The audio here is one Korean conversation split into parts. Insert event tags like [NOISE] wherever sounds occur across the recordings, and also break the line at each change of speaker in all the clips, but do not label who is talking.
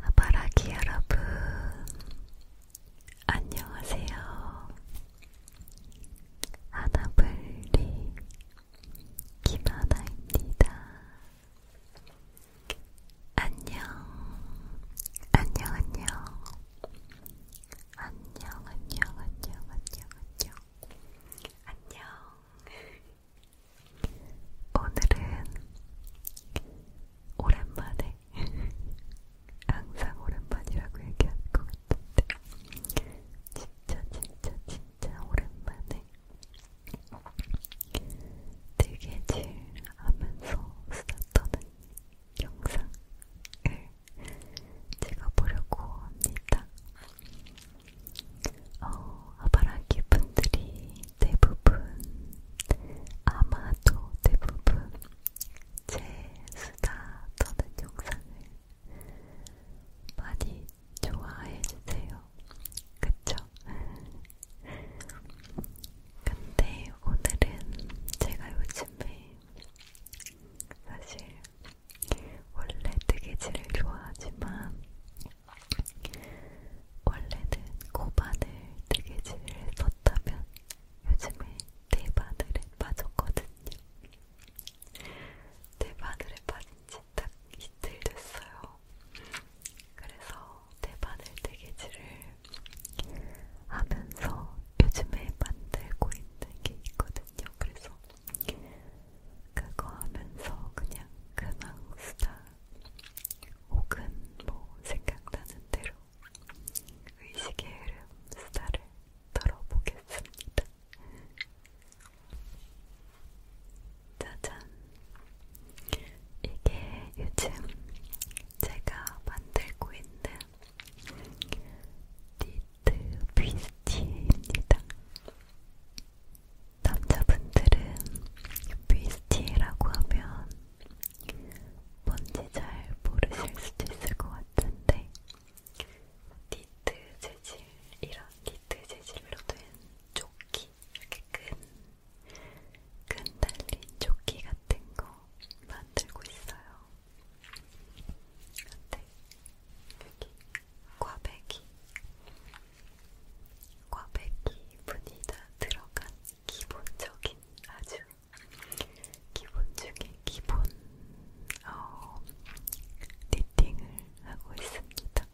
아바라기 여러분, 안녕하세요. 아나블리 김하나입니다. 안녕, 안녕, 안녕. 안녕, 안녕, 안녕, 안녕, 안녕. 안녕. [LAUGHS] 오늘은 오랜만에 [LAUGHS] 항상 오랜만이라고 얘기할 것 같은데 진짜 진짜 진짜 오랜만에 되게 질하면서 수다 떠는 영상을 찍어보려고 합니다. 어, 아바라기 분들이 대부분, 아마도 대부분 제 수다 떠는 영상을 많이 좋아해주세요. 그쵸? 근데 오늘은 제가 요즘에 사실 원래 뜨개질을 좋아하지만 원래는 고바늘 뜨개질을 썼다면 요즘에 대바늘에 빠졌거든요. 대바늘에 빠진지 딱 이틀 됐어요. 그래서 대바늘 뜨개질을 하면서 요즘에 만들고 있는 게 있거든요. 그래서 그거 하면서 그냥 근황 수다 혹은 뭐 생각나는 대로 의식의 흐름 수다를 떨어보겠습니다. 짜잔! 이게 요즘 제가 만들고 있는 니트 비스티입니다. 남자분들은 뷰스티라고 하면 뭔지 잘 모르실 수도 있을 것 같은데 니트 재질, 이런 니트 재질로 된 조끼, 이렇게 끈, 끈 달린 조끼 같은 거 만들고 있어요. 근데 여기 꽈배기, 꽈배기 분이 다 들어간 기본적인 아주 기본 중에 기본 어, 니팅을 하고 있습니다.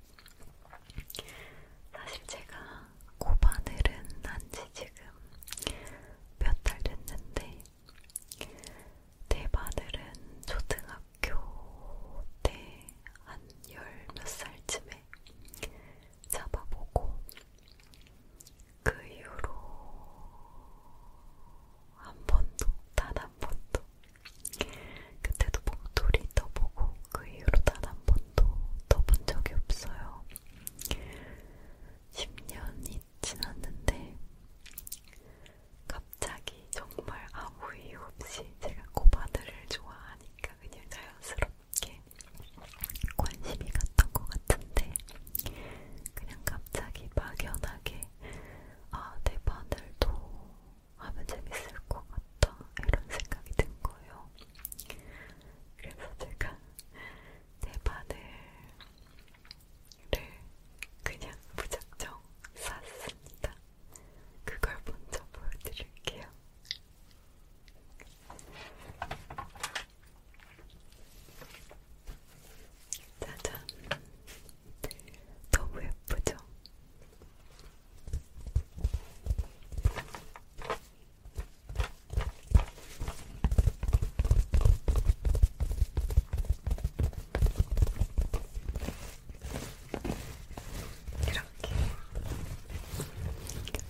사실 제가 코바늘은 한지 지금 몇 달 됐는데 대바늘은 초등학교 때 한 열 몇 살쯤에 잡아보고 그 이후로 한 번도 단 한 번도 그때도 목도리 떠보고 그 이후로 단 한 번도 떠본 적이 없어요. 10년이 지났는데 갑자기 정말 아무 이유 없이 제가 코바늘을 좋아하니까 얘기가 그냥 자연스럽게 관심이 갔던 것 같은데 그냥 갑자기 막연하게 아, 내 바늘도 하면 재밌을 것 같다 이런 생각이 든 거예요. 그래서 제가 내 바늘을 그냥 무작정 샀습니다. 그걸 먼저 보여드릴게요. 짜잔. 너무 예쁘죠? 이렇게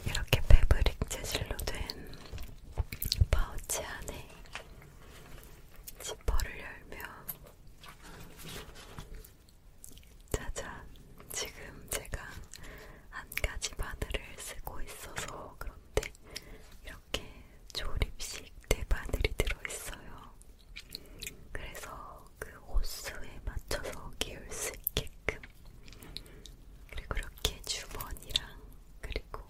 이렇게 패브릭 재질로 된 파우치 안에 지퍼를 열면 짜잔 지금 제가 한 가지 바늘을 쓰고 있어서 그런데 이렇게 조립식 대바늘이 들어있어요. 그래서 그 호수에 맞춰서 끼울 수 있게끔 그리고 이렇게 주머니랑 그리고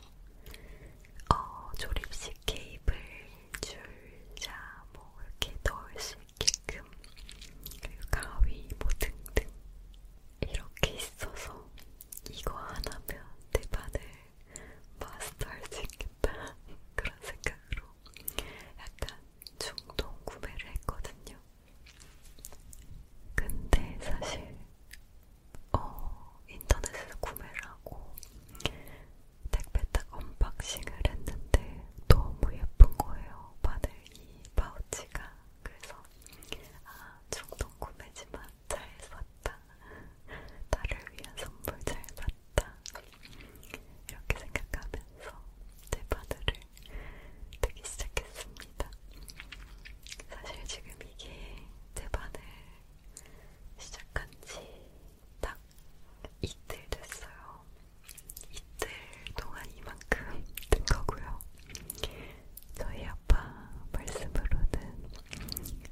어, 조립식 케이블 줄자 뭐 이렇게 넣을 수 있게끔 그리고 가위 뭐 등등 이렇게 있어서 이거 하나면 내 반을 마스터할 수 있겠다 [LAUGHS] 그런 생각으로 약간 중동 구매를 했거든요. 근데 사실 어, 인터넷에서 구매를 하고 택배 딱 언박싱을 했는데 너무 예쁜 거예요. 바늘 이 파우치가. 그래서 아, 중동 구매지만 잘 샀다. 나를 위한 선물 잘 샀다. 이렇게 생각하면서 제 바늘을 뜨기 시작했습니다. 사실 지금 이게 제 반을 시작한 지 딱 이틀 됐어요. 이틀 동안 이만큼 뜬 거고요. 저희 아빠 말씀으로는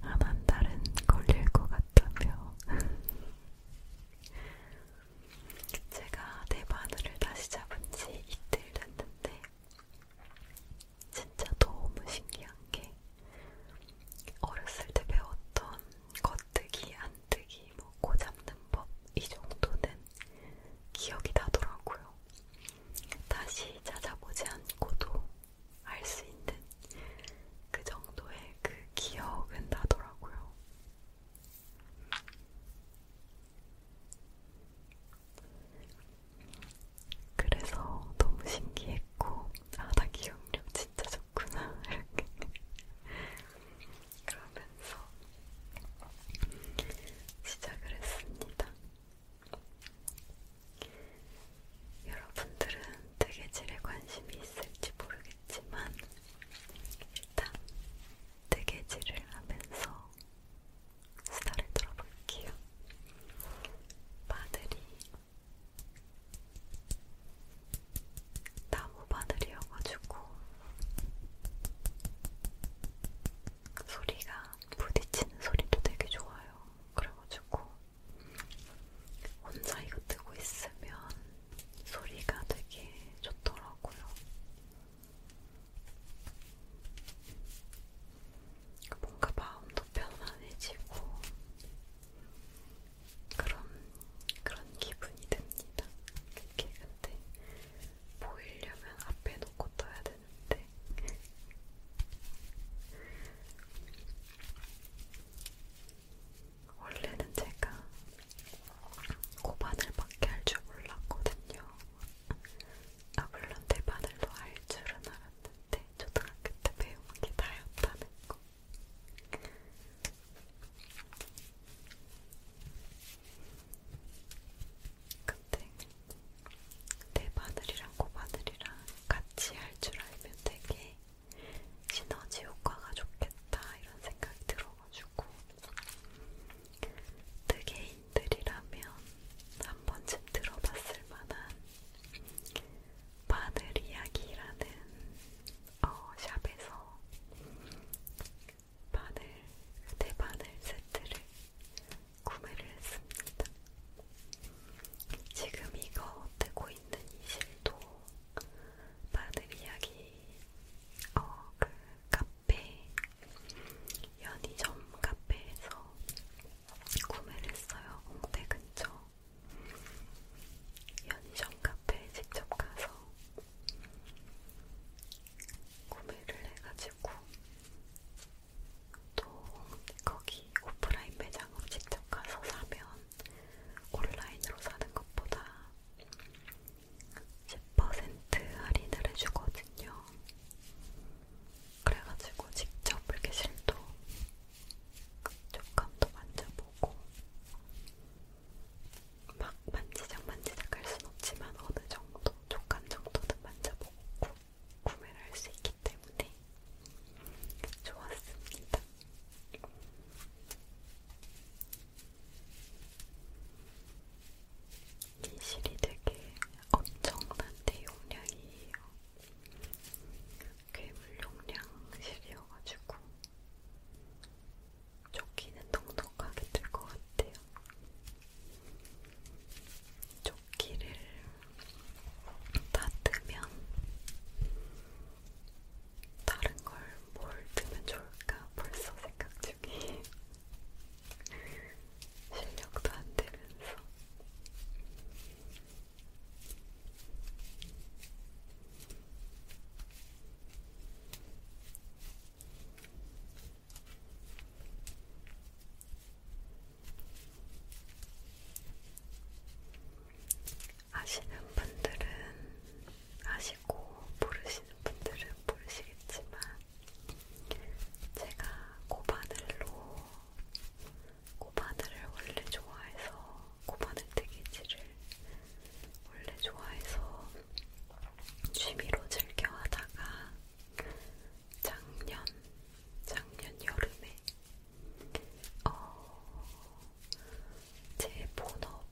안한 달은 걸릴 것 같다며 제가 대바늘을 다시 잡은 지 이틀 됐는데 진짜 너무 신기한 게 어렸을 때 배웠던 겉뜨기, 안뜨기, 뭐 고잡는 법 이 정도는 기억이 나더라고요. 다시 찾아보지 않고도 알 수 있는 그 정도의 그 기억은 나더라고요. 그래서 너무 신기했고, 아, 나 기억력 진짜 좋구나. 이렇게. [LAUGHS] 그러면서 시작을 했습니다. 여러분들은 뜨개질에 관심이 있을지 모르겠지만, 일단 뜨개질을 하면서 수다를 들어볼게요. 바늘이 나무 바늘이어가지고 소리가 부딪히는 소리도 되게 좋아요. 그래가지고 혼자 이거 뜨고 있으면 소리가 되게 좋더라고요. 그러니까 뭔가 마음도 편안해지고 그런 그런 기분이 듭니다. 그게 근데 보이려면 앞에 놓고 떠야 되는데 원래는 제가 고바늘밖에 할 줄 몰랐거든요. 아 물론 대바늘도 할 줄은 알았는데 초등학교 때 배운 게 다였다는 거. 근데 대바늘이랑 고바늘이랑 같이 할 줄 알면 되게 시너지 효과가 좋겠다 이런 생각이 들어가지고 뜨개인들이라면 그 한 번쯤 들어봤을 만한 바늘 이야기라는 어, 샵에서 바늘, 대바늘 네 세트를 구매를 했습니다. 지금 이거 뜨고 있는 이 실도 바늘 이야기 어, 그 카페, 연희점 카페에서 구매를 했어요. 홍대 근처. 연희점 카페에 직접 가서 구매를 해가지고 또 거기 오프라인 매장으로 직접 가서 사면 온라인으로 사는 것보다 10% 할인을 해주거든요. 그래가지고 직접 이렇게 실도 촉감도 만져보고 막 만지작 만지작 할 순 없지만 어느 정도 촉감 정도는 만져보고 구매를 할 수 있기 때문에 좋았습니다. 기실이 되게 엄청난 대용량이에요. 괴물 용량실이어가지고 조끼는 넉넉하게 들것 같아요. 조끼를 다 뜨면 다른 걸 뭘 뜨면 좋을까 벌써 생각 나중에 실력도 안 되면서 아시는 분들은 아실 알고 모르시는 분들은 모르시겠지만 제가 고바늘로 고바늘을 원래 좋아해서 고바늘 뜨개질을 원래 좋아해서 취미로 즐겨 하다가 작년 작년 여름에 어, 제 본업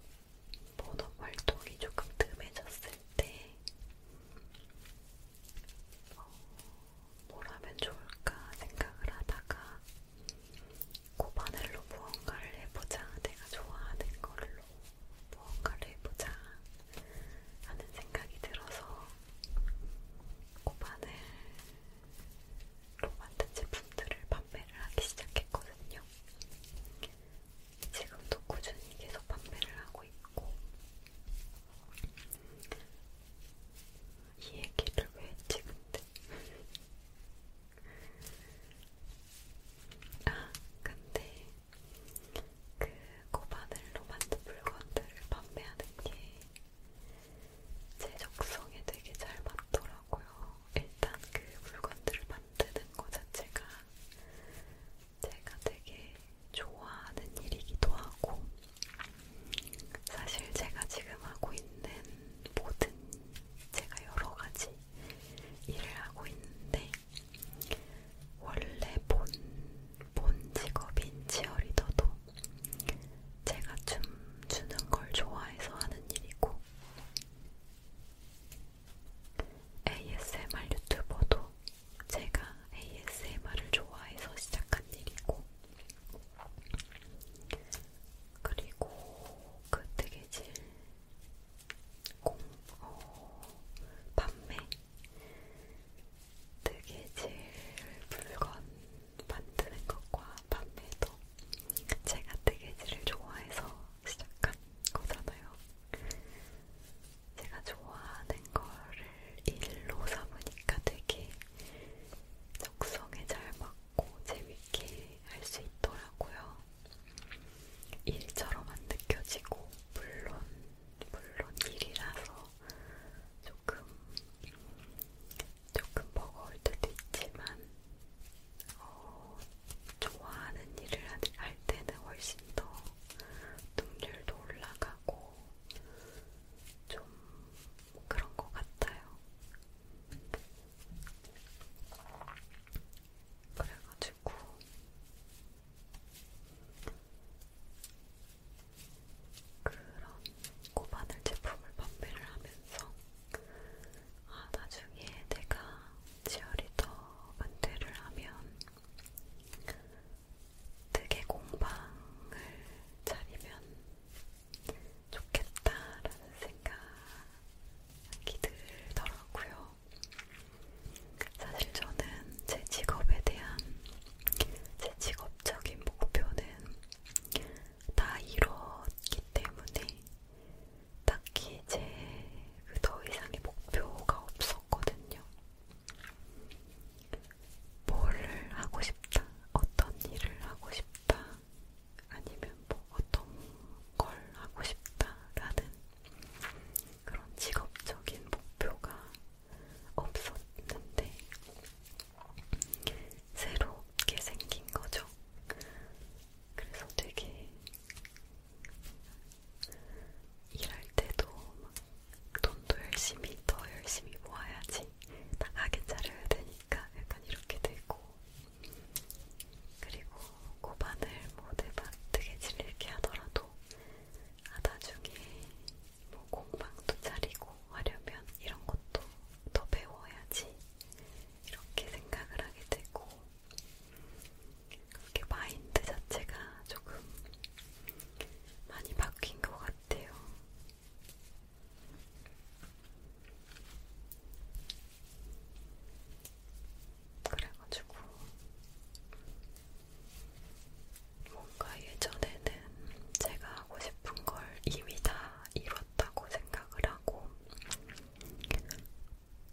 본업 활동이 조금 뜸해졌을 때, 어, 뭘 하면 좋을까 생각을 하다가, 고바늘로 무언가를 해보자, 내가 좋아하는 걸로 무언가를 해보자 하는 생각이 들어서, 고바늘로 만든 제품들을 판매를 하기 시작했거든요. 지금도 꾸준히 계속 판매를 하고 있고 이 얘기를 왜 찍은데? [LAUGHS] 아 근데 그 고바늘로 만든 물건들을 판매하는 게 제적성에 되게 잘 맞더라고요. 일단 그 물건들을 만드는 거 자체가 제가 되게 좋아하는 일이기도 하고, 사실 제가 지금 하고 있는 모든 제가 여러 가지 일을 하고 있는데, 원래 본, 본 직업인 치어리더도 제가 춤추는 걸 좋아해서 하는 일이고, ASMR 유튜버도 제가 ASMR을 좋아해서 시작한 일이고, 그리고 그 뜨개질 공, 어, 판매, 뜨개질 물건 만드는 것과 판매도 제가 뜨개질을 좋아해서 시작한 거잖아요. 제가 좋아하는 거를 일로 삼으니까 되게 적성에 잘 맞고 재밌게 할 수 있더라고요. 일처럼 안 느껴지고 물론 물론 일이라서 조금 조금 버거울 때도 있지만 어, 좋아하는 일을 할 때는 훨씬 더 능률도 올라가고 좀 그런 것 같아요. 그래가지고 그런 고바늘 제품을 판매를 하면서 아 나중에 내가 치어리더 반대를 하면 되게 공방을 차리면 좋겠다라는 생각이 들더라고요. 사실 저는 제 직업에 대한 제 직업적인 목표는 다 이뤘기 때문에 딱히 이제 그 더 이상의 목표가 없었거든요. 뭐를 하고 싶다, 어떤 일을 하고 싶다, 아니면 뭐 어떤 걸 하고 싶다라는 그런 직업적인 목표가 없었는데 새롭게 생긴 거죠. 그래서 되게 일할 때도 막 돈도 열심히 더 열심히 모아야지 나가게 자려야 되니까 약간 이렇게 되고 그리고 고반을 뭐 대박 되게 질리게 하더라도 아 나중에 뭐 공방도 차리고 하려면 이런 것도 더 배워야지 이렇게 생각을 하게 되고 그렇게 마인드 자체가 조금 많이 바뀐 것 같아요. 그래가지고 뭔가 예전에는 제가 하고 싶은 걸 이미 다 이뤘다고 생각을 하고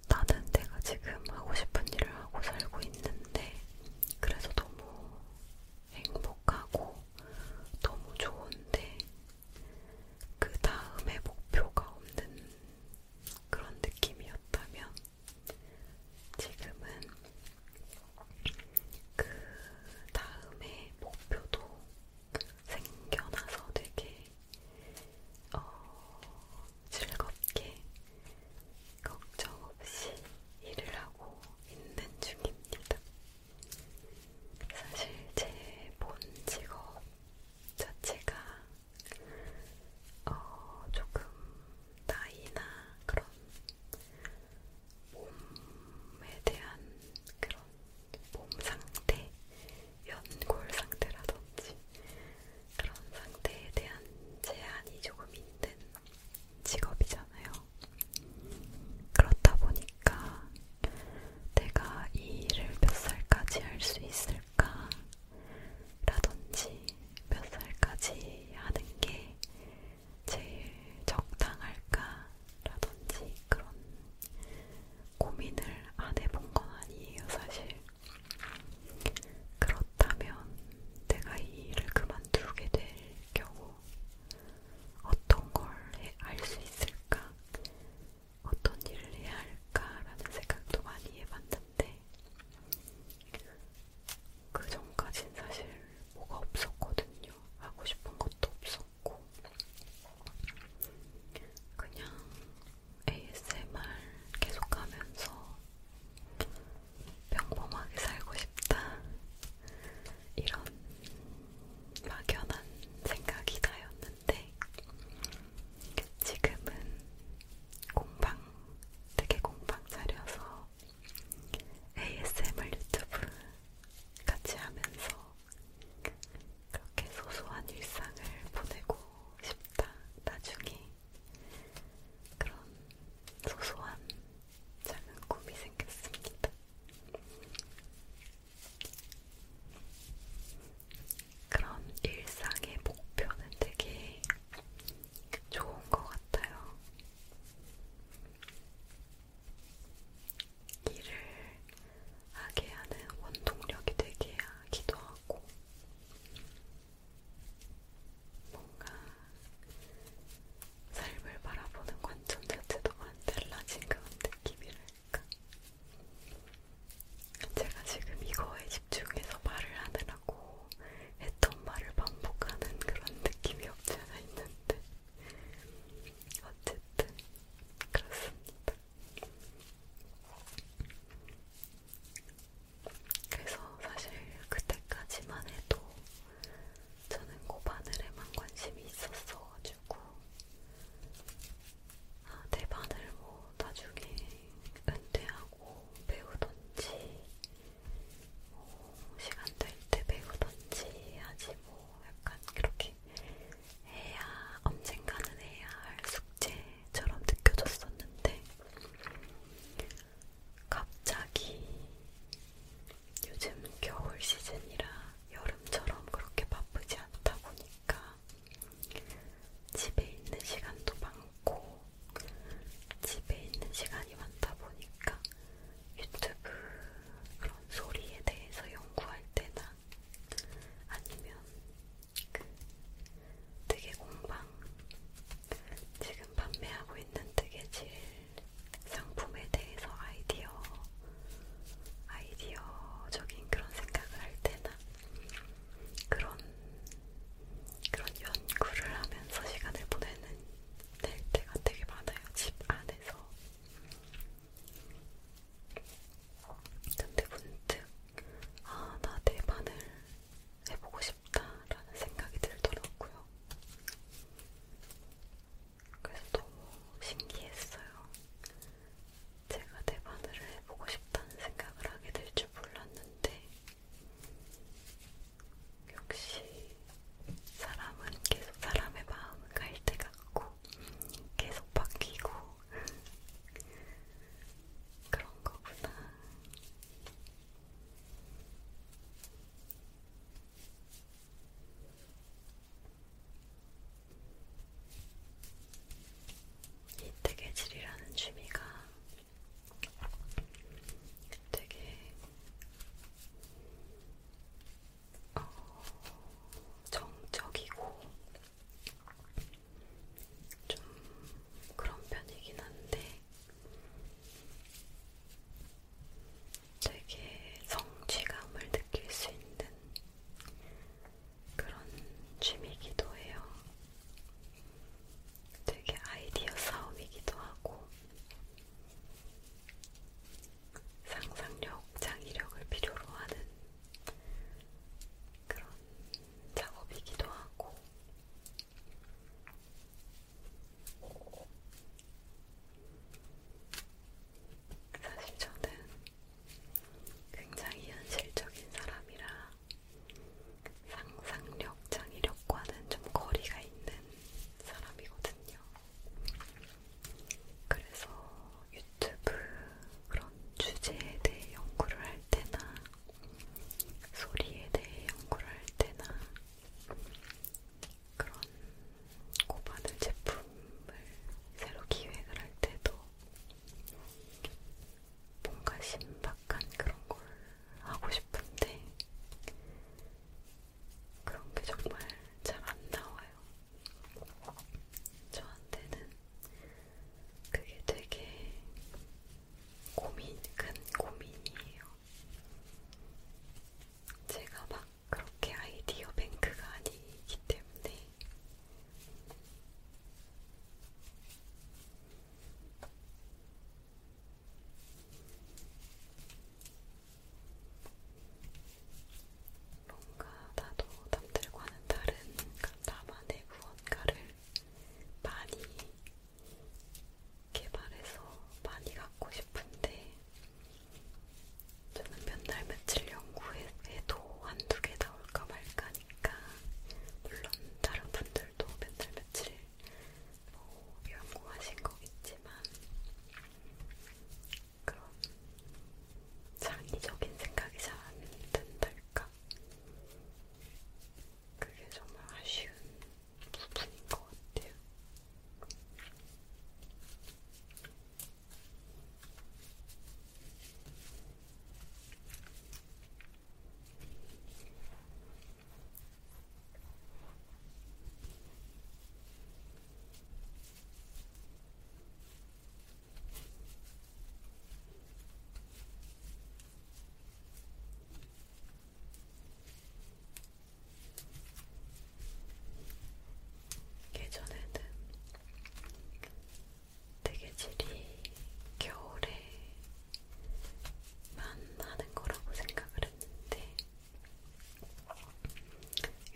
나는 내가 지금 하고 싶은 일을 하고 살고 있는데 그래서 너무 행복하고 너무 좋은데 그 다음에 목표가 없는 그런 느낌이었다면 지금은 그 다음에 목표도 생겨나서 되게 어, 즐겁게 걱정 없이 일을 하고 있는 중입니다. 사실 제 본 직업 자체가 어, 조금 나이나 그런 몸에 대한 그런 몸 상태, 연골 상태라든지 그런 상태에 대한 제한이 조금 있는 직업이잖아요. 그렇다 보니까 내가 이 일을 몇 살까지 할 수 있을까? 라든지 몇 살까지 하는 게 제일 적당할까? 라든지 그런 고민을 안 해본 건 아니에요, 사실. 그렇다면 내가 이 일을 그만두게 될 경우 어떤 걸알수 있을까? 어떤 일을 해야 할까라는 생각도 많이 해봤는데 그 전까진 사실 뭐가 없었거든요. 하고 싶은 것도 없었고 그냥 ASMR 계속하면서 평범하게 살고 싶다 이런 막연한 생각이 나였는데 지금은 공방 되게 공방 차려서 ASMR 유튜브 같이 하면서 그렇게 소소한 일상을 보내고 싶다. 나중에 그런 소소한 작은 꿈이 생겼습니다. 그런 일상의 목표는 되게 좋은 것 같아요. 일을 하게 하는 원동력이 되게 하기도 하고, 뭔가 삶을 바라보는 관점 자체도 많이 달라진 그런 느낌이랄까. 제가 지금 이거에 집중해서 말을 하느라고 했던 말을 반복하는 그런 느낌이 없지 않아 있는데 어쨌든 그렇습니다. 그래서 사실 그때까지만 해도 저는 고바늘에만 관심이 있었어가지고 아, 내 바늘 뭐 나중에 은퇴하고 배우던지 뭐 시간 될 때 배우던지 하지 뭐 약간 그렇게 해야 언젠가는 해야 할 숙제처럼 느껴졌었는데 갑자기 요즘 겨울 시즌이라 여름처럼 그렇게 바쁘지 않다 보니까 집에 있는 시간도 많고 집에 있는 시간이 많다 보니까 유튜브 그런 소리에 대해서 연구할 때나 아니면 뜨개 공방 지금 판매하고 있는 뜨개질 상품에 대해서 아이디어 아이디어적인 그런 생각을 할 때나 그런 그런 연구를 하면서 시간을 보내는 될 때가 되게 많아요 집 안에서 근데 문득 아 나 내 바늘 해보고 싶다라는 생각이 들더라고요. 그래서 너무 신기했어요. 제가 대바늘을 해보고 싶다는 생각을 하게 될 줄 몰랐는데, 역시 사람은 계속 사람의 마음은 갈대 같고, 계속 바뀌고, 그런 거구나. 이 뜨개질이라는 취미가 되게 어, 정적이고 좀 그런 편이긴 한데 되게 성취감을 느낄 수 있는 그런 취미이기도 해요. 되게 아이디어 싸움이기도 하고 상상력, 창의력을 필요로 하는 그런 작업이기도 하고 사실 저는 굉장히 현실적인 사람이라 상상력, 창의력과는 좀 거리가 있는 사람이거든요. 그래서 유튜브 그런 주제에 대해 연구를 할 때나 소리에 대해 연구를 할 때나 그런 고바늘 제품을 새로 기획을 할 때도 뭔가 신박한 그런 걸 하고 싶은데 그런 게 정말 잘 안 나와요. 저한테는 그게 되게 고민, 큰 고민이에요. 제가 막 그렇게 아이디어 뱅크가 아니기 때문에 뭔가 나도 남들과는 다른 그 나만의 무언가를 많이 개발해서 많이 갖고 싶은데 저는 몇날 며칠 연구해도 한두 개 나올까 말까니까 물론 다른 분들도 몇날 며칠 뭐 연구하신 거겠지만 그런 장기적인 생각이 잘 안 든달까 그게 정말 아쉬운 부분인 것 같아요. 예전에는 되게 질이 겨울에만 하는 거라고 생각을 했는데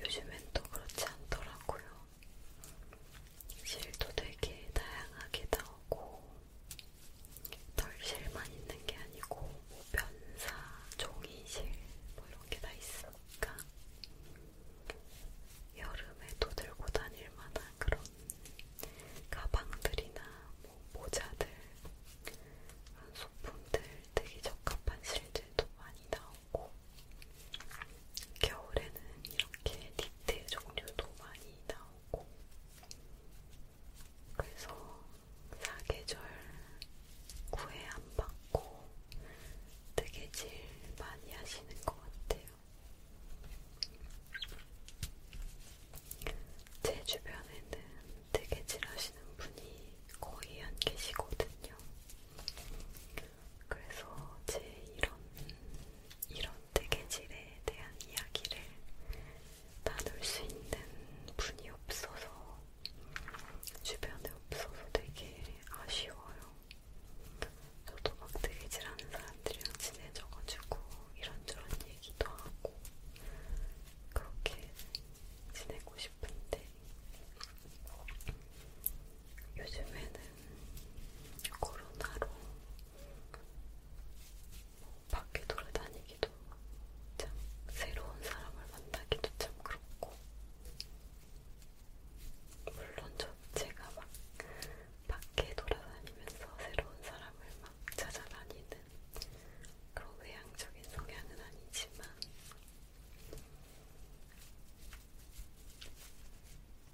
요즘엔 또 그렇지 않더라고요. 실도 되게 다양하게 나오고 털실만 있는 게 아니고 뭐 변사, 종이실 뭐 이런 게 다 있으니까 여름에도 들고 다닐 만한 그런 가방들이나 뭐 모자들 그런 소품들 되게 적합한 실들도 많이 나오고 겨울에는 이렇게 니트 종류도 많이 나오고 그래서 사계절 구애 안 받고 뜨개질 많이 하시는 것 같아요. 제 주변에는 뜨개질 하시는 분이 거의 안 계시거든요. 그래서 제 이런 이런 뜨개질에 대한 이야기를 나눌 수 있는 분이 없어서 주변에 없어서 되게 아쉬워요. 저도 막 뜨개질하는 사람들이랑 친해져가지고 이런저런 얘기도 하고 그렇게 지내고 싶은데 요즘에는 코로나로 밖에 돌아다니기도 참 새로운 사람을 만나기도 참 그렇고 물론 저 제가 막 밖에 돌아다니면서 새로운 사람을 막 찾아다니는 그런 외향적인 성향은 아니지만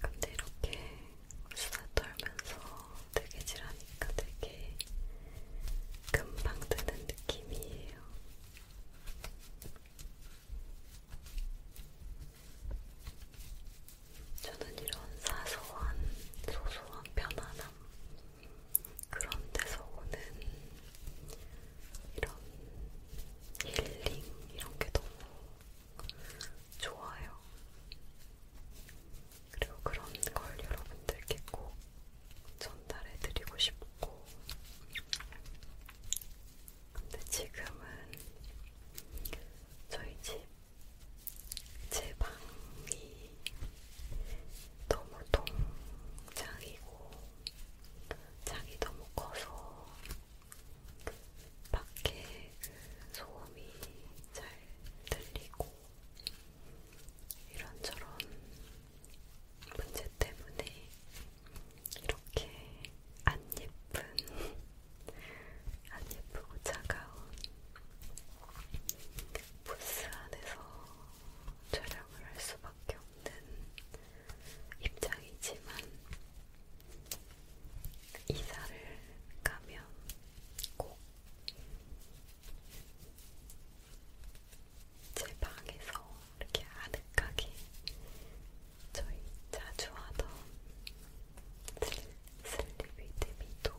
근데 이렇게 수다 떨면서 되게 지라니까 되게 금방 드는 느낌이에요. 저는 이런 사소한, 소소한 편안함 그런 데서 오는 이런 힐링 이런 게 너무 좋아요. 그리고 그런 걸 여러분들께 꼭 전달해드리고 싶고 근데 지금은 저희 집 제 방이 너무 통장이고 장이 너무 커서 밖에 그 소음이 잘 들리고 이런저런 문제 때문에 이렇게 안 예쁜, [LAUGHS] 안 예쁘고 차가운 부스 안에서 촬영을 할 수밖에 없는 입장이지만 이사를 가면 꼭 제 방에서 이렇게 아늑하게 저희 자주 하던 슬립위드미도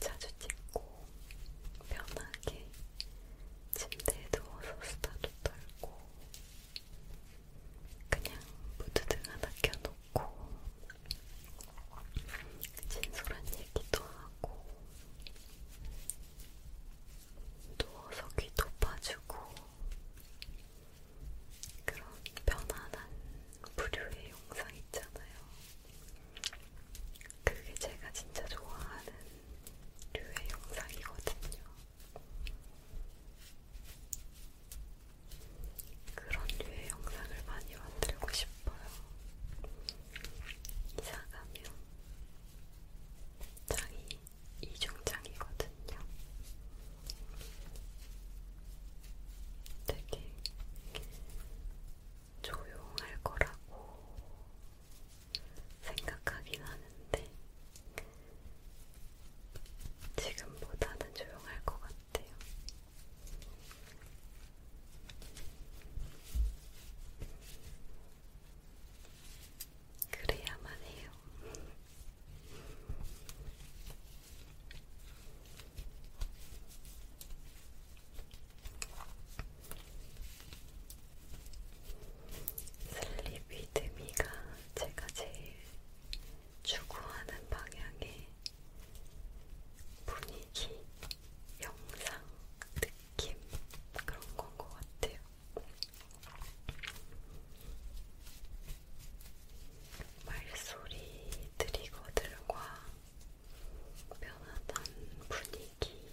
자주 찍고 편하게 침대에 누워서 수다도 떨고 그냥 무드등 하나 켜놓고 진솔한 얘기도 하고 누워서 귀도 파주고 그런 편안한 부류의 영상 있잖아요. 그게 제가 진짜 좋아하는 류의 영상이거든요. 그런 류의 영상을 많이 만들고 싶어요. 이사가면 장이 이중장이거든요. 되게 조용할 거라고 생각하긴 하는데 지금보다는 조용할 것 같아요. 그래야만 해요. 슬립위드미가 제가 제일 추구하는 방향의 분위기, 영상, 느낌 그런 건것 같아요. 말소리들이거들과 편안한 분위기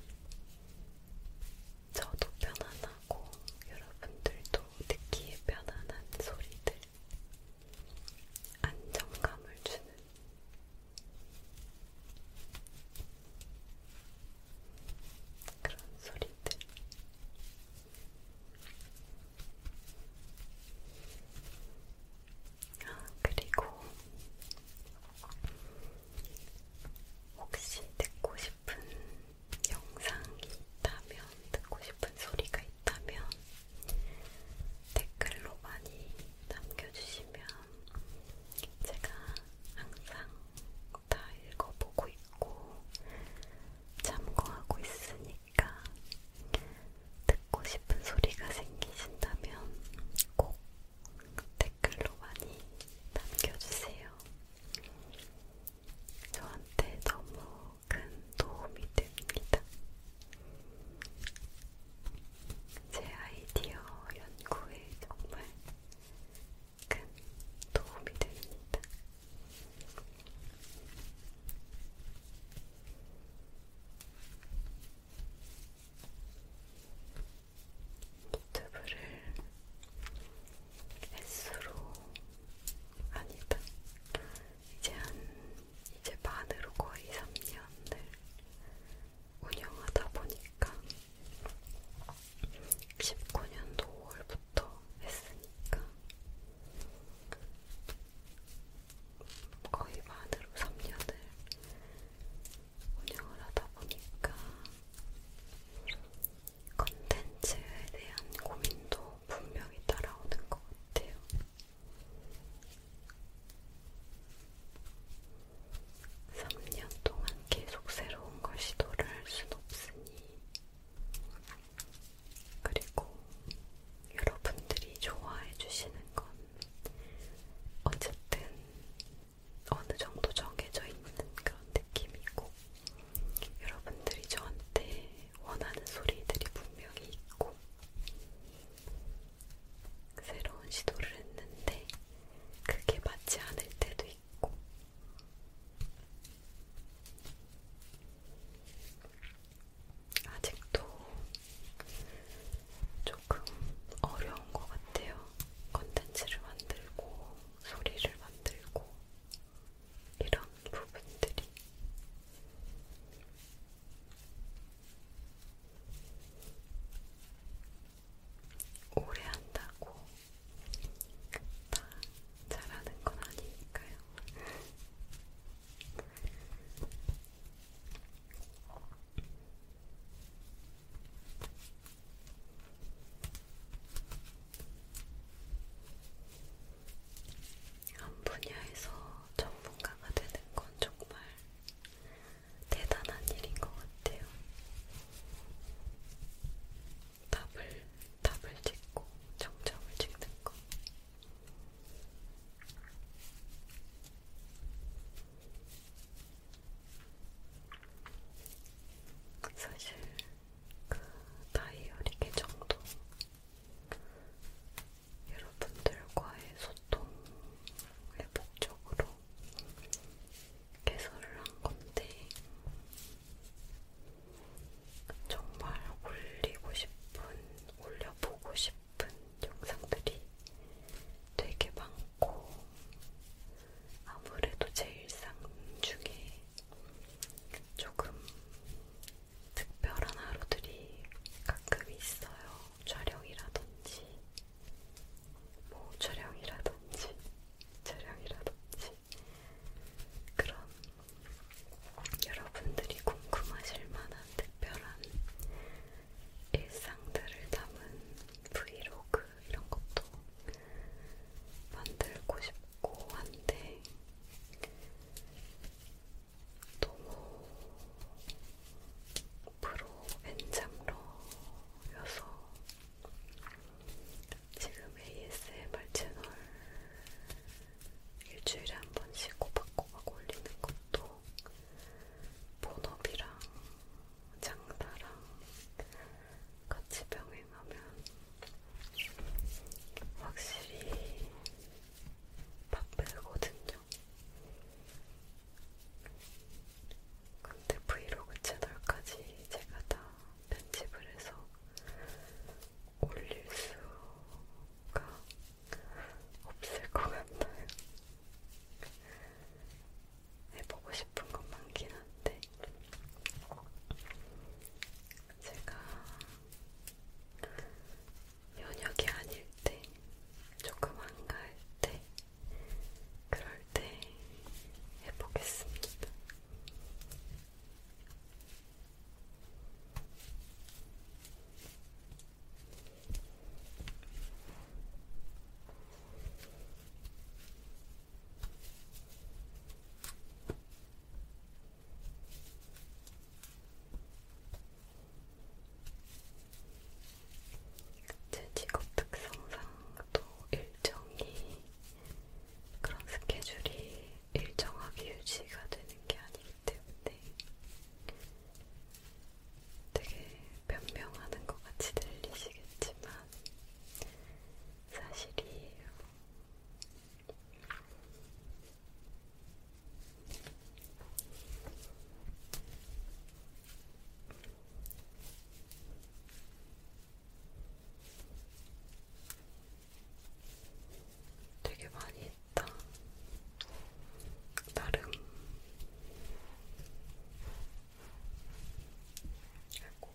저도 편안하고 여러분들도 듣기에 편안한 소리들 안정감을 주는 그런 소리들 그리고 혹시 듣고 싶은 영상이 있다면, 듣고 싶은 소리가 있다면 댓글로 많이 남겨주시면 제가 항상 다 읽어보고 있고 참고하고 있으니까 듣고 싶은 소리가 생기신다면 꼭 댓글로 많이 남겨주세요. 저한테 너무 큰 도움이 됩니다. 제 아이디어 연구에 정말 큰 도움이 됩니다. 유튜브를 S로 아니다. 이제 한 이제 반으로 거의 3년을 운영하다 보니까 19년도 5월부터 했으니까 거의 만으로 3년을 운영을 하다 보니까 컨텐츠에 대한 고민도 분명히 따라오는 것 같아요. 삼년 동안 계속 새로운 걸 시도를 할 순 없으니 그리고 여러분들이 좋아해 주시는 건 어쨌든 어느 정도 정해져 있는 그런 느낌이고 여러분들이 저한테 원하는 소리들이 분명히 있고 새로운 시도를 했는데 그게 맞지 않을 때도 수도 있고. 아직도 조금 어려운 것 같아요. 컨텐츠를 만들고, 소리를 만들고, 이런 부분들이. 오래 한다고 다 잘하는 건 아니니까요. 한 분야에서 전문가가 되는 건 정말 대단한 일인 것 같아요. 답을, 답을 찍고 정점을 찍는 거. 사실 그 다이어리 계정도 여러분들과의 소통의 목적으로 개설을 한 건데 정말 올리고 싶은, 올려보고 싶은 영상들이 되게 많고, 아무래도 제 일상 중에 조금 특별한 하루들이 가끔 있어요. 촬영이라든지, 뭐 촬영이라든지, 촬영이라든지. 그런 여러분들이 궁금하실 만한 특별한 일상들을 담은 브이로그 이런 것도 만들고 싶고 한데 너무 프로 엔잡러여서 지금 ASMR 채널 일주일에 한 번씩 꼬박꼬박 올리는 것도 본업이랑 장사랑 같이 병행하면 확실히 바쁘거든요. 근데 브이로그 채널까지 제가 다 편집을 해서 올릴 수가 없을 것 같아요. 해보고 네, 싶은 건 많긴 한데, 제가 연역이 아닐 때, 조금 한가할 때, 그럴 때 해보겠습니다. 제 직업 특성상 또 일정이 그런 스케줄이 일정하게 유지가 되는 게 아니기 때문에 되게 변명하는 것 같이 들리시겠지만 사실이에요. 되게 많이 했다. 나름. 아이고.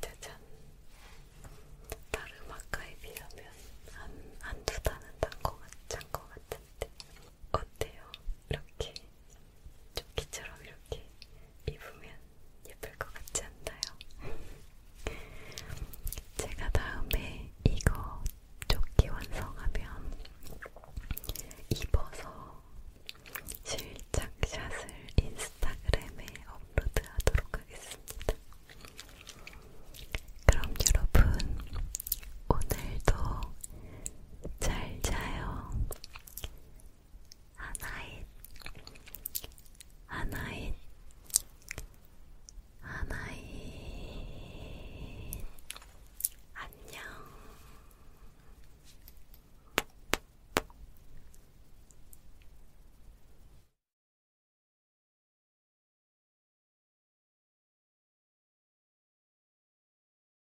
짜잔. 다른 아까에 비하면 한, 한두 단은 딴것 같지 않은 것 같은데. 어때요? 이렇게 조끼처럼 이렇게 입으면 예쁠 것 같지 않나요? [LAUGHS] 제가 다음에 이거 조끼 완성하면 입어서 실착샷을 인스타그램에 업로드하도록 하겠습니다. 그럼 여러분 오늘도 잘 자요. 하나잇 하나잇 하나잇 안녕